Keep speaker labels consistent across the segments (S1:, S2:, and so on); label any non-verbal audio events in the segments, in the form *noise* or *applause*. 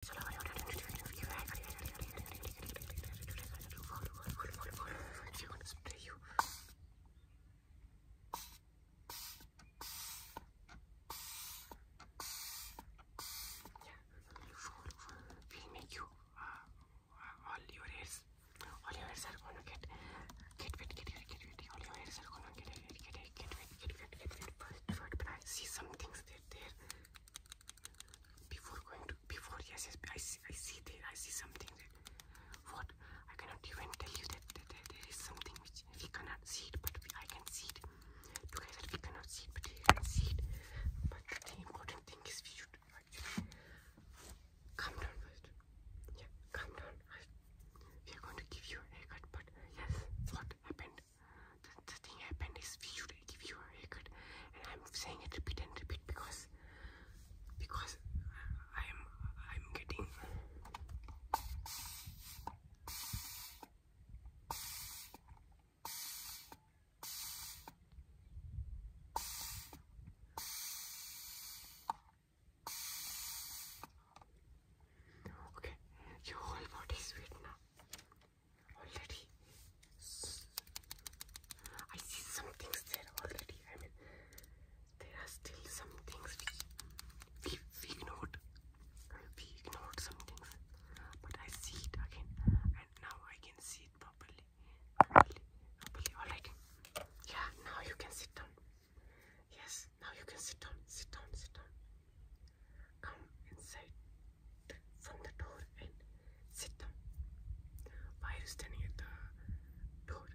S1: will make you uh, all your hairs, all your hairs are gonna get get wet, get wet, get wet. All your hairs are gonna get wet, get wet, get wet, get wet, get wet. But, but I see some things that there before going to before yes, yes I see I see there I see something there. What I cannot even tell you that, that, there is something which we cannot see it, but we, I can see it. Together we cannot see it, but we can see it. But the important thing is we should actually calm down first. Yeah, calm down. I, we are going to give you a haircut, but yes, what happened? the, thing happened is we should give you a haircut and I'm saying it repeat and repeat because because I'm I'm getting Okay, your whole body is wet now already. I see some things there already. I mean, there are still some things we, we, we ignored. We ignored some things. But I see it again. And now I can see it properly. Properly. Properly. Alright. Yeah, now you can sit down. Yes, now you can sit down. Sit down. Sit down come inside from the door and sit down. Why are you standing at the door?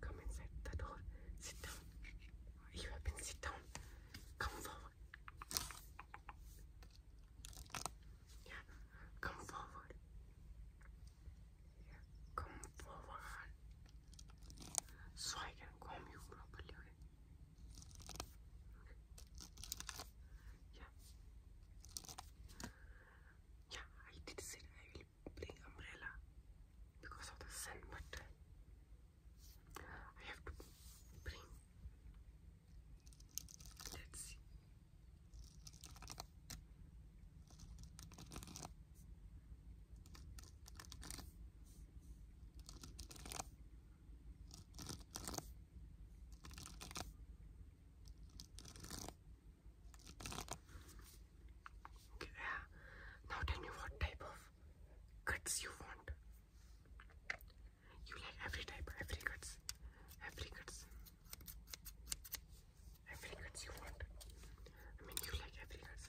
S1: Come inside the door, sit down. You have been sit Come forward. Yeah, come forward. Yeah, come forward. So I can comb you properly. Yeah. Yeah, I did say I will bring umbrella because of the sun, but uh, I have to bring. Let's see yeah. Now tell me what type of cuts you want. You like every type, every cuts, every cuts, every cuts you want. I mean, you like every cuts.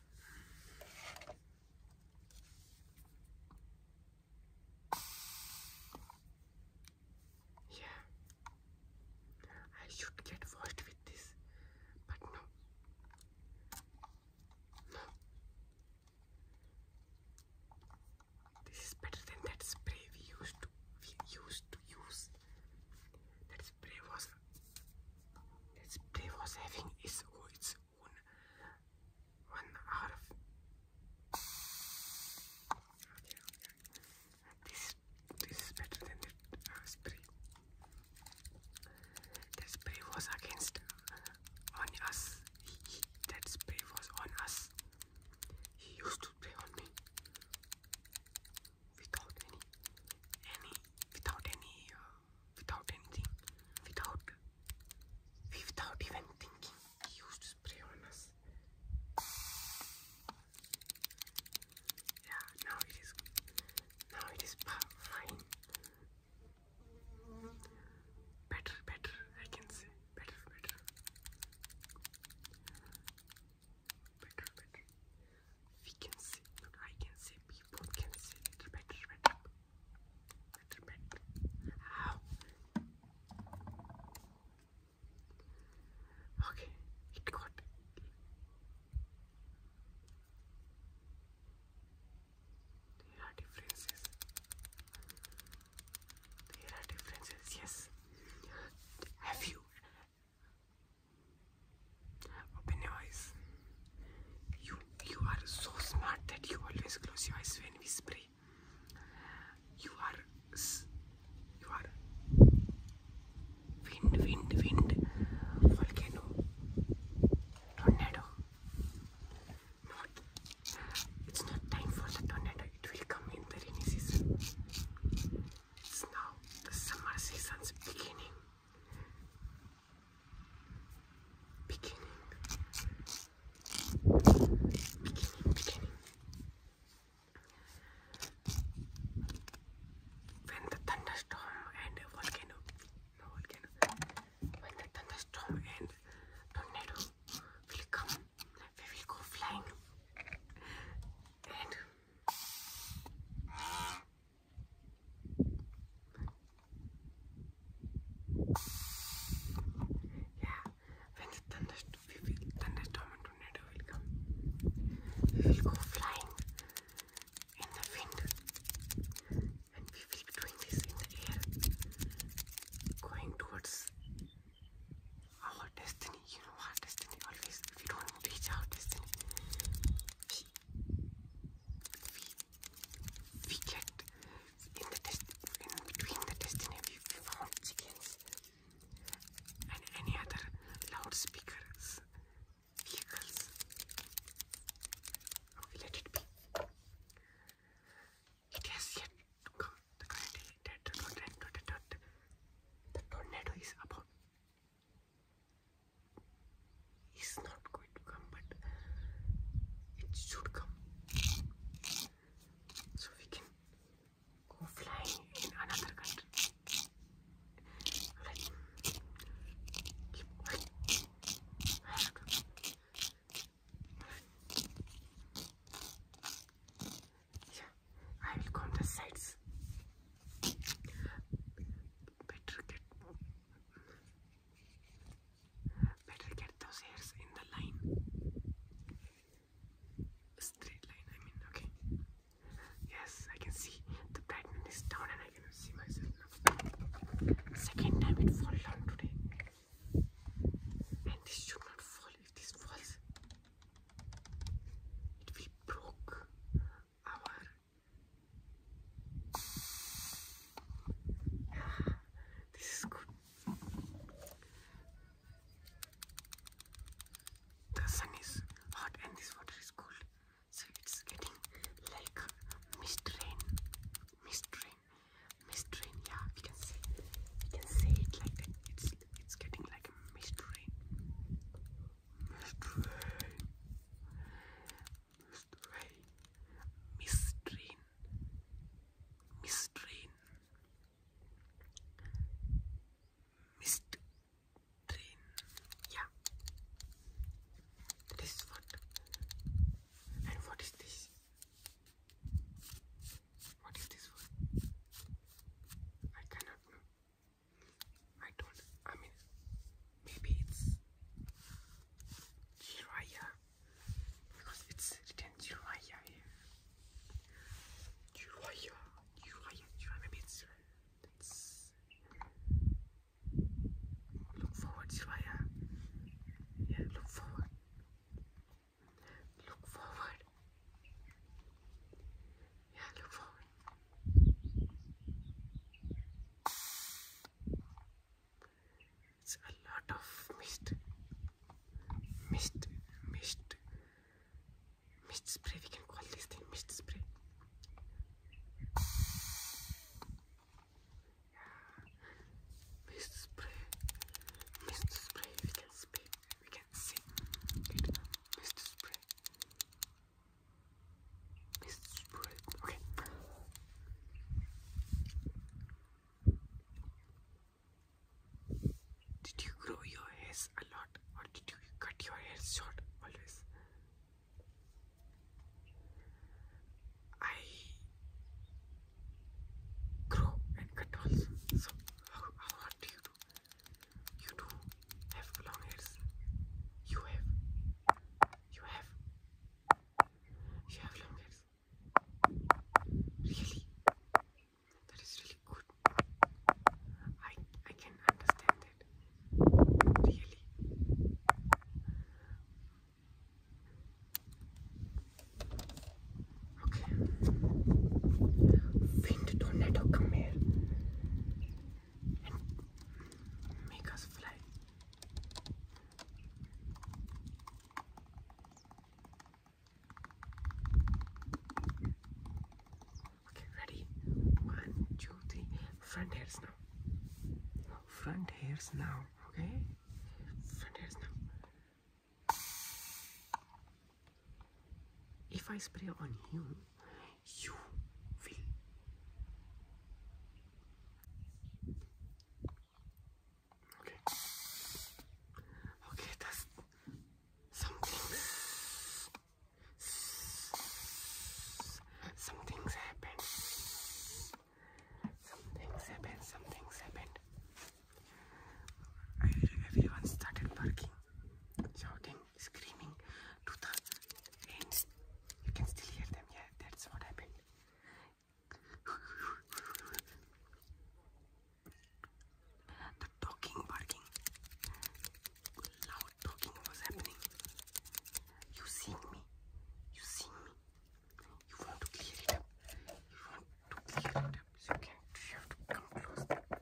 S1: Yeah, I should get washed with this, but no, no. This is better than that spray we used to we used to use. That spray was Let's play was having its own one out This this is better than the uh, spray. That spray was against uh, on us. that spray was on us. He used to play on me without any any without any uh, without anything without without even thinking he used spray on us yeah now it is now it is fine better better I can say better better better, better. We can say, I can say, we can say better, better, better. Better, Okay, it got there are differences. There are differences, yes. Have you Open your eyes. You you are so smart that you always close your eyes when we spray. You are you are wind wind wind volcano tornado. Not it's not time for the tornado. It will come in the rainy it's now the summer season's beginning. Beginning. Beginning, beginning. When the thunderstorm and volcano, no volcano, when the thunderstorm and tornado will come, we will go flying yeah, when the thunderstorm, we will, thunderstorm and tornado will come, we will go flying in the wind and we will be doing this in the air, going towards our destiny you know what, Destiny, always, if you don't reach out, Destiny, we, we, we get, in the test, in between the Destiny, we, found chickens, and any other loudspeakers, vehicles, oh, we let it be. It has yet to come. The current, the tornado, the tornado is about is not going to come but it should come so we can go flying in another country right. Keep I will count the sides. Better get, better get those hairs in the line. straight line, I mean, okay. Yes, I can see the brightness is down and I can see myself Second time it fall down today. And this should not fall. If this falls, it broke our *sighs* this is good. The sun is hot and this water is cold. So it's getting like mist rain. Mist rain. Mist rain, yeah, we can say we can say it like that. It's it's getting like a mist rain. Mystery. Mystery. Mistrain. Mistrain. Mist Yeah. This is And what is this? What is this word? I cannot I don't, I mean, maybe it's Jiraiya because it's written Jiraiya here. Jiraiya, Jiraiya, Jiraiya, maybe it's, Look forward, Jiraiya. Yeah, look forward. Look forward. It's a lot of mist. Mist, mist, mist spray. We can call this thing mist spray. Mist spray, mist spray. We can spray. We can spray. Mist spray. Okay. Did you grow your hair a lot or did you cut your hair short always? I grow and cut also. So, how, how do you do? You do have long ears. You have. You have. You have long hairs. Really? That is really good. I I can understand it. Really. Okay and make us fly. Okay, ready? One, two, three. Front hairs now. front hairs now, okay? Front hairs now. If I spray on you, you will. Okay. Okay, that's something. Something's happened. Something's happened. Something's happened. I, everyone started barking shouting, screaming to the ants. You can still hear them. Yeah, that's what happened. The talking, barking, loud talking was happening. You seeing me? You seeing me? You want to clear it up? You want to clear it up? So you have to come close.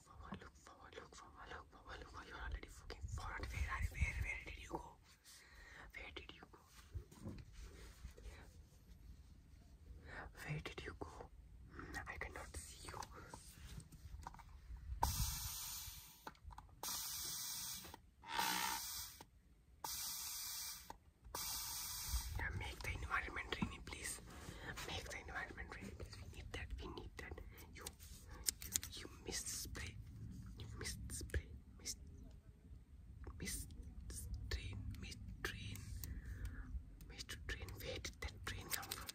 S1: Look forward, look forward, look forward, look forward, You're already fucking forward. Where are where where did you go? Where did you go? Where did you go? Hmm, I cannot see you. Make the environment rainy, please. Make the environment rainy, We need that. We need that. You you, you missed play. You missed this play. Miss Missed this train. Miss train. Missed train. Where did that train come from?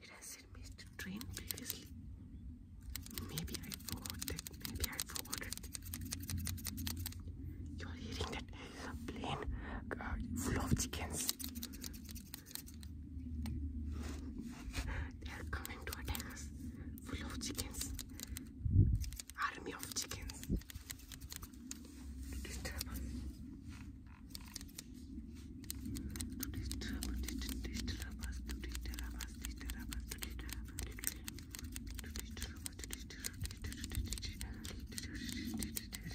S1: Did I say Mister train previously? Maybe I forgot that. Maybe I forgot it. You are hearing that plane uh, full of chickens. They are coming to attack us, full of chickens, army of chickens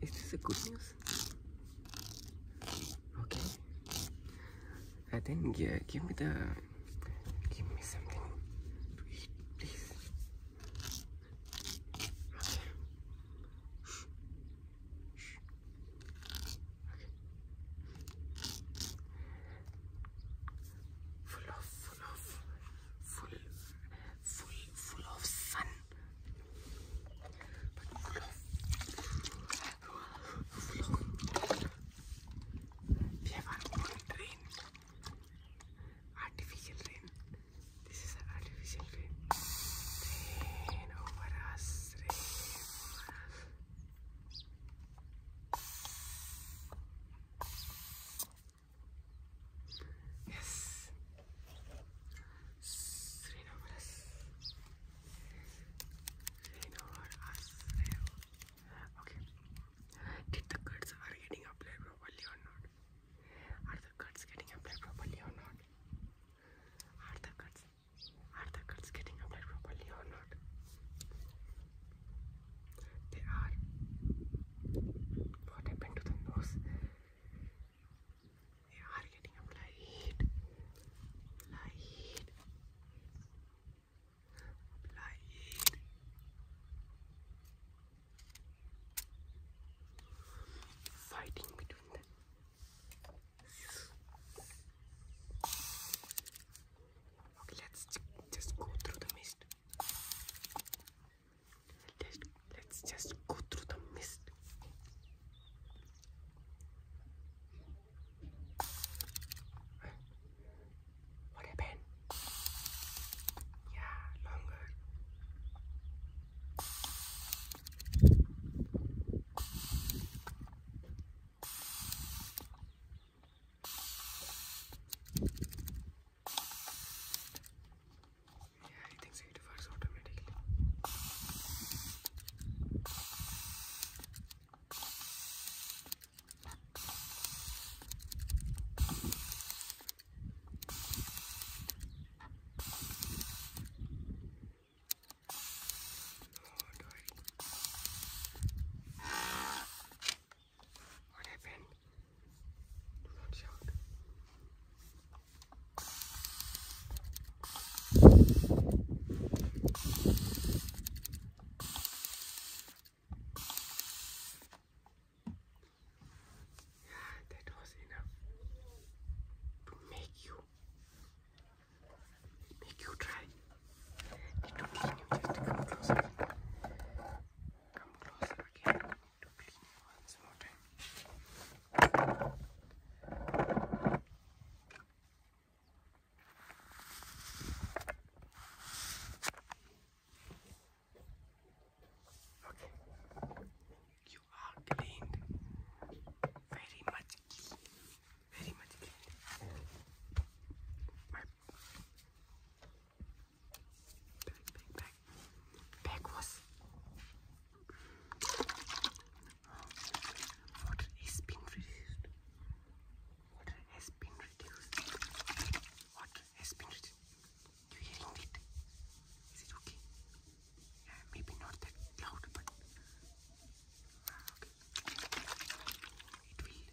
S1: Is this a good news? Okay. Uh, then yeah, give me the give me something to eat, please. Okay. Okay. Full of full of full full full of sun they were all rain. Artificial rain. This is an artificial rain. Rain over us. Rain over us. Yes. श्रीनवरस श्रीनवर Okay. Did the cuts getting applied properly or not? Are the cuts getting applied properly or not? Are the cuts are the cuts getting applied properly or not? They are. What happened to the nose? They are getting applied. Applied. Applied. Fighting between them. Okay, let's just go through the mist. Let, us just go through the mist. What happened? Yeah, longer. Yeah, I think it works automatically. What happened? Do not that was enough to make you make you try. It will you just come closer. Come closer again need to clean it once more time. Okay, you are cleaned, very much clean, very much clean. Back, back, back. Bag was. Water has been reduced. Water has been reduced. Water has been reduced. You hearing it? Is it okay? Yeah, maybe not that loud, but ah, It will.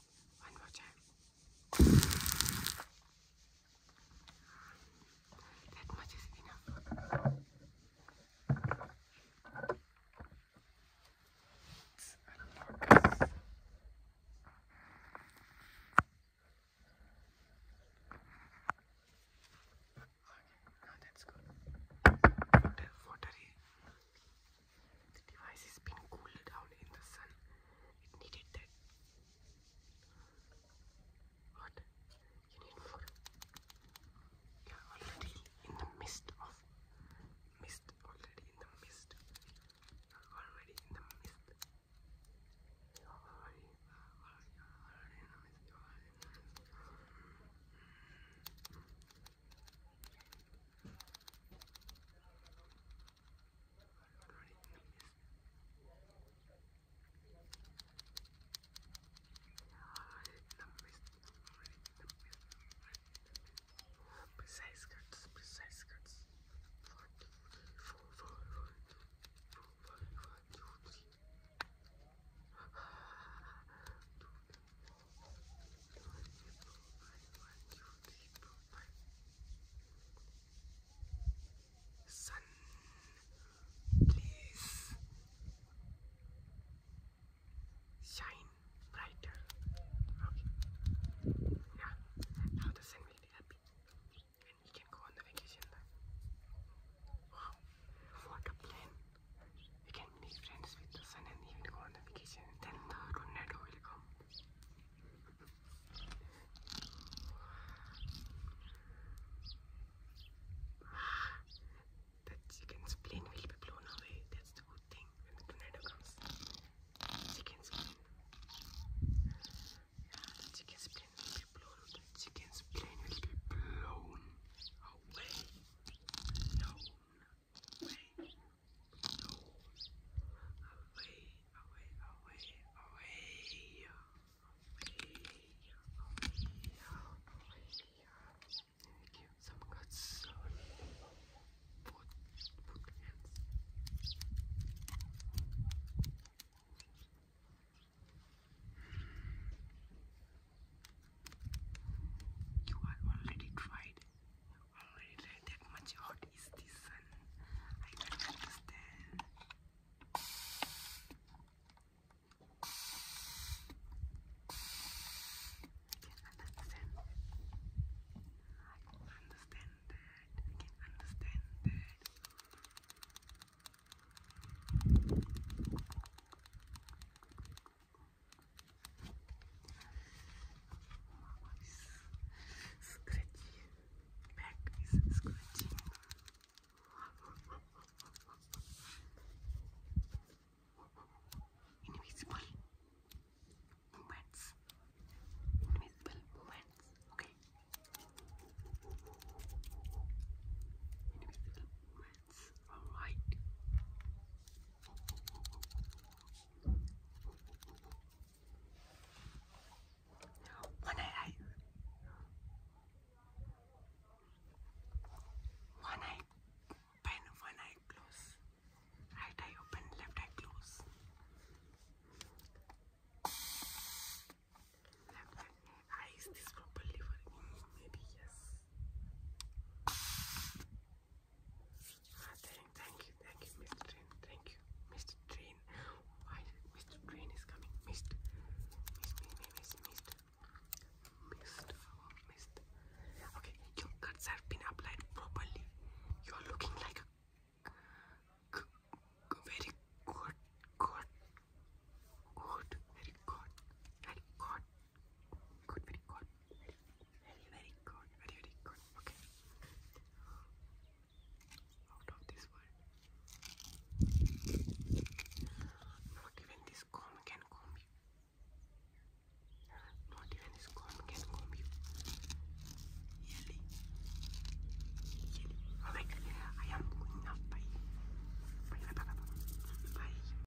S1: One more time. That much is enough. Let's Okay, now that's good. Water, water the device has been cooled down in the sun. It needed that. What? You need for? Yeah, already in the mist of mist. already in the mist. Already in the mist. Precise cuts, precise cuts. One, two, three, four, five, one, two, four, five, one, two, three. Two, three. Sun, please shine brighter. Okay. Yeah. Now the sun will be happy, and we can go on the vacation. Wow, what a plan! We can be friends with the sun and even go on a vacation. Then the tornado will come. The chicken's plane will be blown away. That's the good thing when the tornado comes. chicken's plane. Yeah, chicken's plane will be blown. chicken's plane will be blown away. no, away, no, away, away, away, away, away, away, away. Give some cuts on both, both hands. You are already tried. Already tried that much hot is the sun. I do understand. I can understand. I can understand that. I can understand that. Scratchy. Back is scratching. Invisible movements. Invisible movements. Okay. Invisible movements. All right. One eye. One eye Right eye open, left eye close. Left eye. Eye is this for Maybe yes thank, you, thank you, Mr. Train. Thank you, Mr. Train. Why Mr. Train is coming? Missed, missed, missed, missed, missed, Okay, your cuts have been applied properly. You are looking like very good, good, good, very good, very good. Good, very good. Very, very, good. Very, very good. Okay. Out of this world. Not even this comb can comb you. Not even this comb can comb you. Really? Oh I am going up. Bye. Bye. Bye. Bye. Bye.